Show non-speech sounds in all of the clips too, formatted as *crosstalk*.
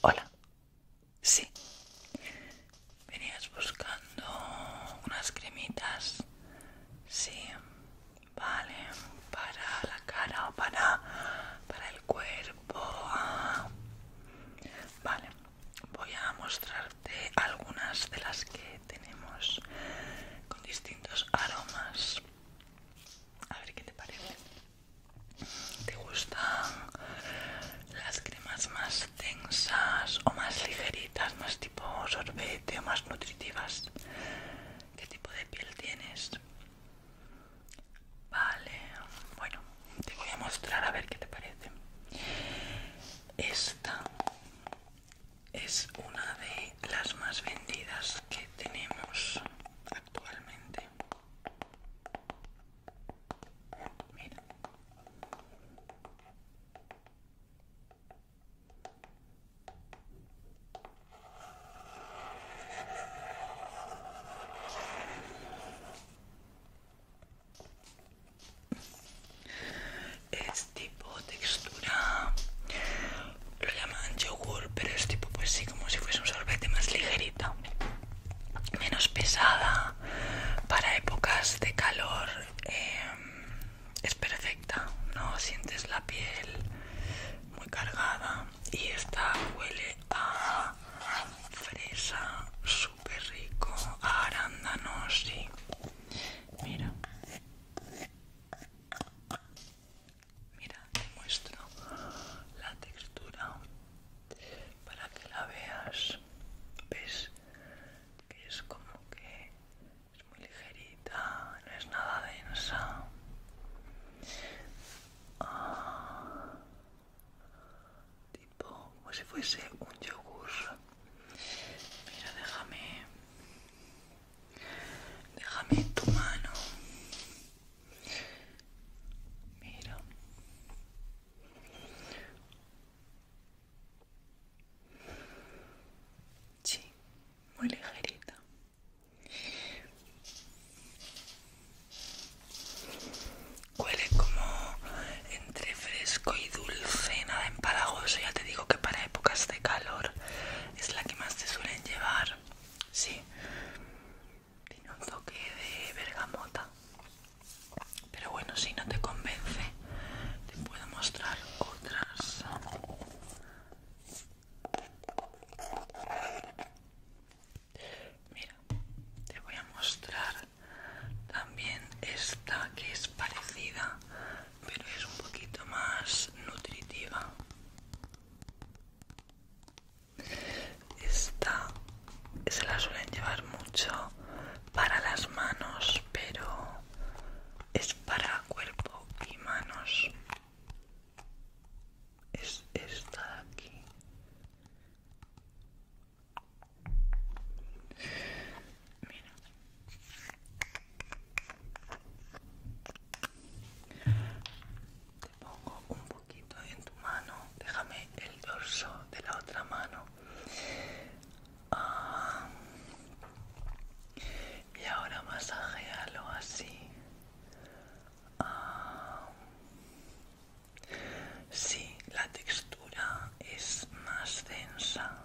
Hola. Sí. Venías buscando unas cremitas. Sí. Vale. Para la cara o para, para el cuerpo. Ah. Vale. Voy a mostrarte algunas de las que tenemos con distintos aromas. A ver qué te parece. ¿Te gustan las cremas más densas o más ligeritas, más tipo sorbete o más nutritivas? ¿Qué tipo de piel tienes? Vale, bueno, te voy a mostrar a ver qué te parece. Esta es una de las más vendidas que tenemos actualmente. Es tipo textura, lo llaman yogur, pero es tipo pues sí, como si fuese un sorbete más ligerito menos pesada para épocas de calor eh, es perfecta no sientes la piel muy cargada y esta huele a fresa súper rico arándanos mira mira te muestro la textura para que la veas ves que es como que es muy ligerita no es nada densa ah, tipo como si fuese un yogur mira déjame déjame tu mano Mira. Sí, muy ligerita. Huele como entre fresco y dulce, nada empalagoso. Ya te digo que para épocas de calor es la que más te suelen llevar. Sí, tiene un toque de bergamota. Pero bueno, si no te convence, te puedo mostrar otras. Mira, te voy a mostrar también esta que es parecida, pero es un poquito más nutritiva. Esta se la suelen llevar mucho para las manos, pero es para cuerpo y manos. Es esta de aquí. Mira un poquito en tu mano. Déjame el dorso de la otra mano. Ah. Y ahora masajealo así. si ah. Sí, la textura es más densa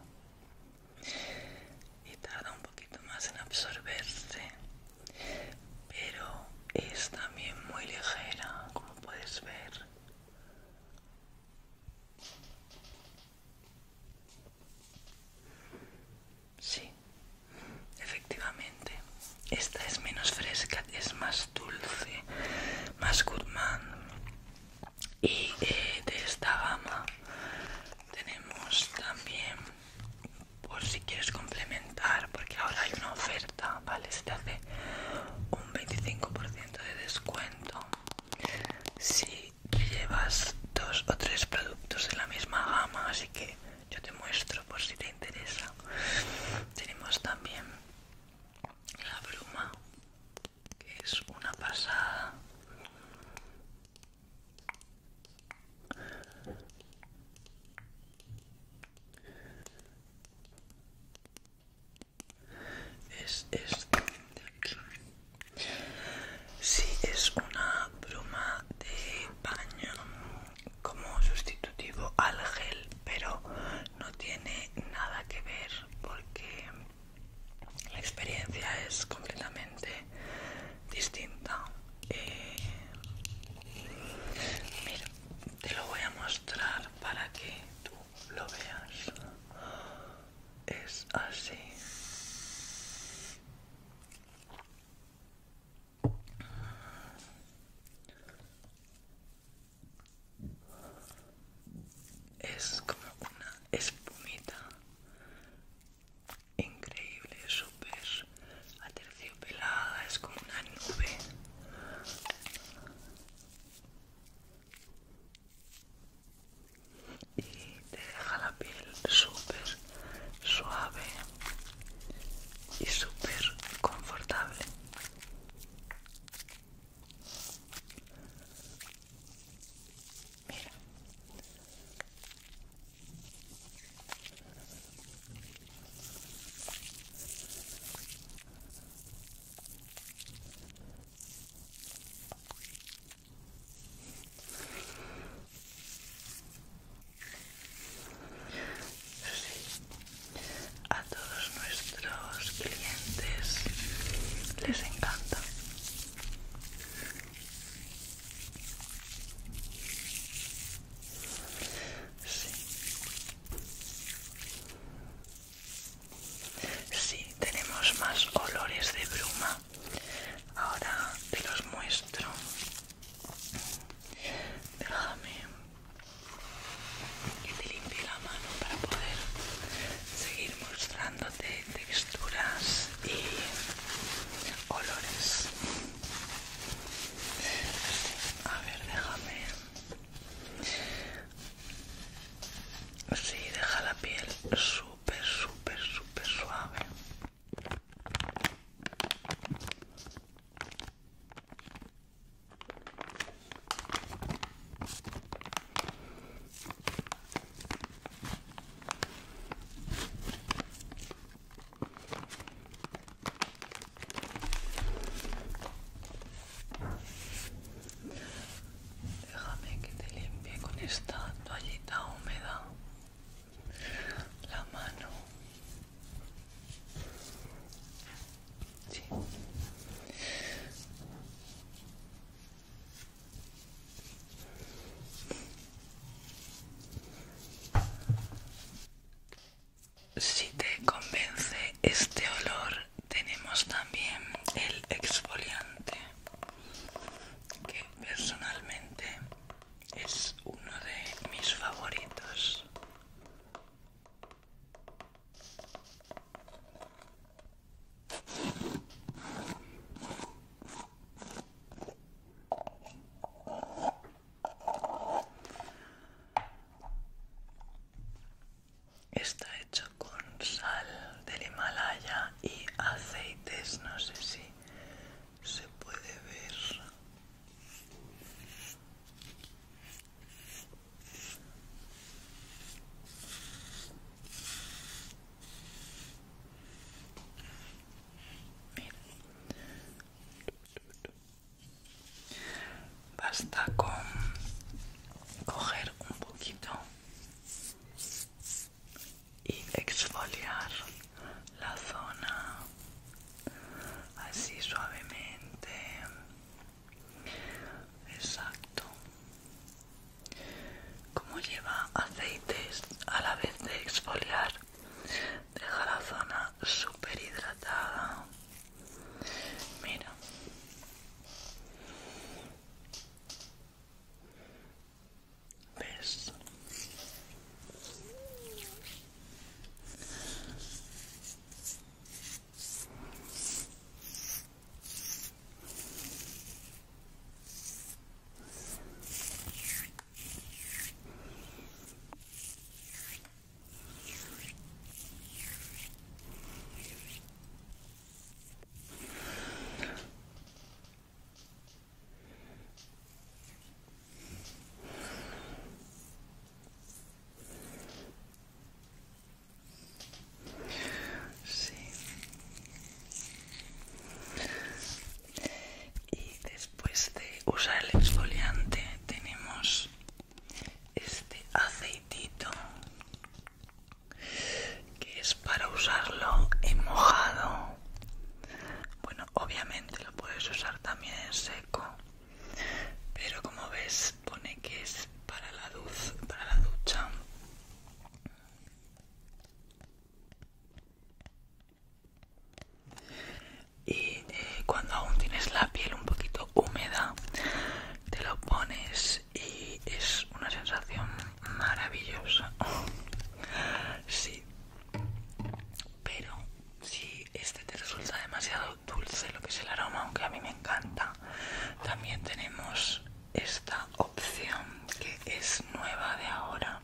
y tarda un poquito más en absorberse pero es también muy ligera como puedes ver sí efectivamente esta es menos fresca es más dulce más goodman. y eh, de esta gama tenemos también por si quieres complementar, porque ahora hay una oferta, ¿vale? Se te hace un 25% de descuento si llevas dos o tres productos de la misma gama, así que yo te muestro por si te interesa. Tenemos también la bruma, que es una pasada es este si es una bruma de baño como sustitutivo al gel pero no tiene nada que ver porque la experiencia es completamente distinta eh, te lo voy a mostrar para que tú lo veas. Es así. Es como una espumita increíble, súper aterciopelada, es como una nube. Y te deja la piel super suave y súper confortable. Mira. A todos nuestros clientes les encanta. Sí. tenemos más olores de bruma. Ahora te los muestro. Déjame y te limpie la mano para poder seguir mostrándote texturas y olores. A ver, déjame. Sí, deja la piel súper, súper, súper suave. Déjame que te limpie con esta toallita húmeda la mano. Si te convence este olor, tenemos también el exfoliante, que personalmente es uno de mis favoritos. Está hecho con sal del Himalaya y aceites, no sé si se puede ver. Basta con coger un poquito y exfoliar la zona así suavemente. Exacto. Como lleva aceites a la vez de exfoliar, deja la zona super hidratada mira ves Sí. Y después de usar el exfoliante tenemos este aceitito que es para usarlo en mojado bueno obviamente lo puedes usar también en seco pero como ves pone que es para la luz para la ducha y eh, cuando aún tienes la piel un poquito húmeda te lo pones y es una sensación maravillosa *laughs* sí pero si este te resulta demasiado dulce lo que es el aroma aunque a mí me encanta también tenemos esta opción que es nueva de ahora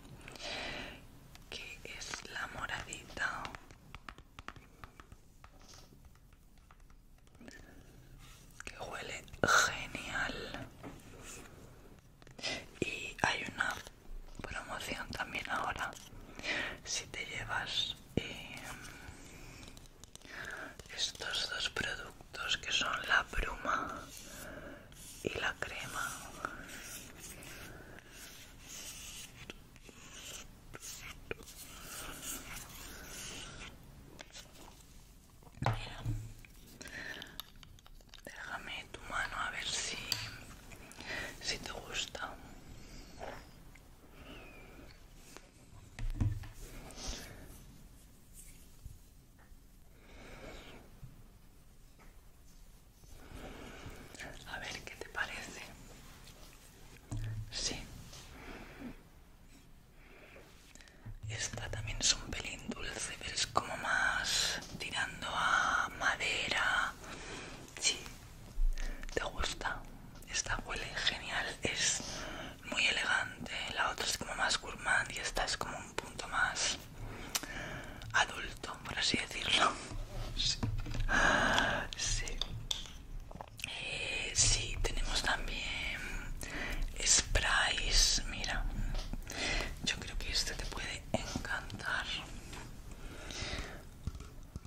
que es la moradita que huele genial y hay una promoción también ahora si te llevas eh, estos dos productos que son la bruma y la crema Déjame tu mano a ver si si te gusta. A ver qué te parece. Sí. Esta también es un pelín dulce, es como más tirando a madera. Sí. ¿Te gusta? Esta huele genial, es muy elegante. La otra es como más gourmand y esta es como un punto más adulto, por así decirlo. *laughs* sí sí, tenemos también sprays. Mira, yo creo que este te puede encantar.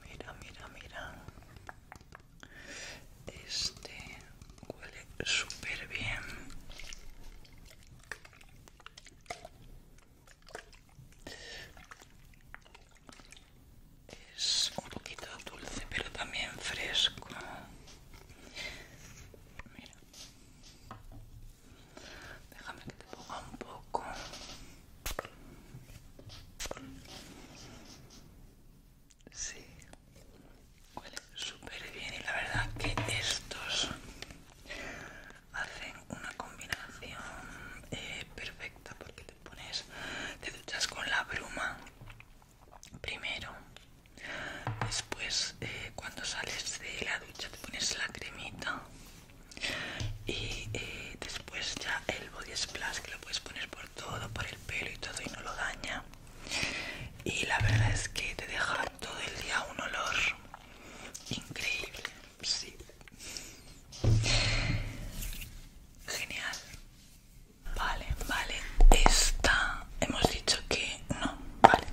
Mira, mira, mira. Este huele súper bien. Es un poquito dulce, pero también fresco. Mira. Déjame que te ponga un poco. Sí. Huele súper bien y la verdad que estos hacen una combinación eh, perfecta porque te pones, te duchas con la bruma primero, después eh, cuando sales de la ducha te pones la cremita y eh, después ya el body splash que lo puedes poner por todo, por el pelo y todo y no lo daña y la verdad es que te deja todo el día un olor increíble, Genial. Vale, vale. Esta hemos dicho que no. Vale.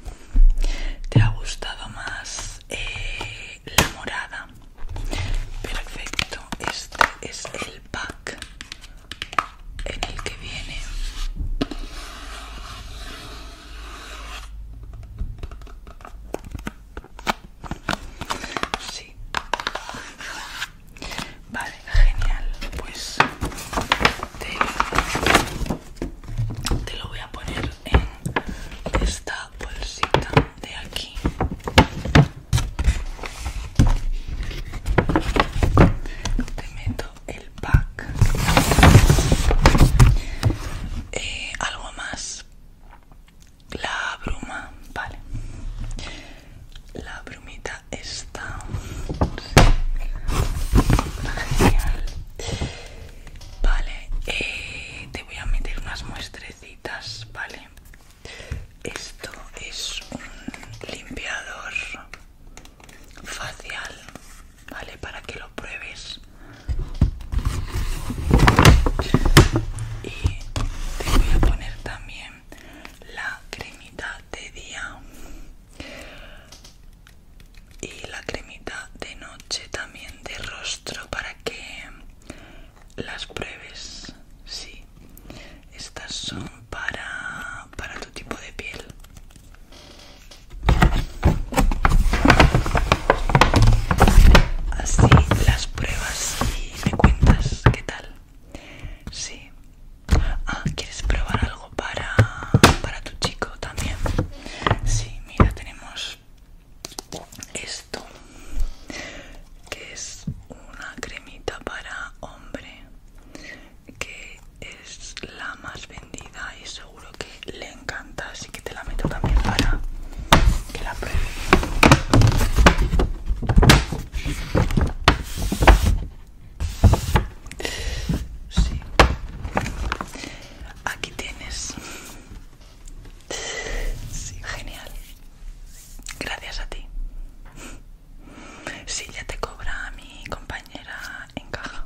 ¿Te ha gustado más eh, la morada? Perfecto. Este es el pack en el que viene. Sí. Vale, genial. Pues te, lo voy a poner en esta bolsita de aquí. Te meto el pack. Eh, ¿Algo más? La bruma, vale. La brumita está genial. Vale, eh, te voy a meter unas muestrecitas, vale. Esto es un limpiador facial, vale, para que lo pruebes te voy a poner también la cremita de día y la cremita de noche también de rostro para que las pruebes sí estas son para para tu tipo de piel así las pruebas y me cuentas qué tal. Sí. Ah, ¿quieres probar algo para, para tu chico también? Sí, mira, tenemos esto, que es una cremita para hombre, que es la más vendida y seguro que le encanta, así que te la meto también para que la Sí. Aquí tienes. Sí, genial. Gracias a ti. Sí, ya te cobra mi compañera en caja.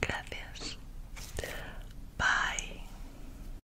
Gracias. Bye.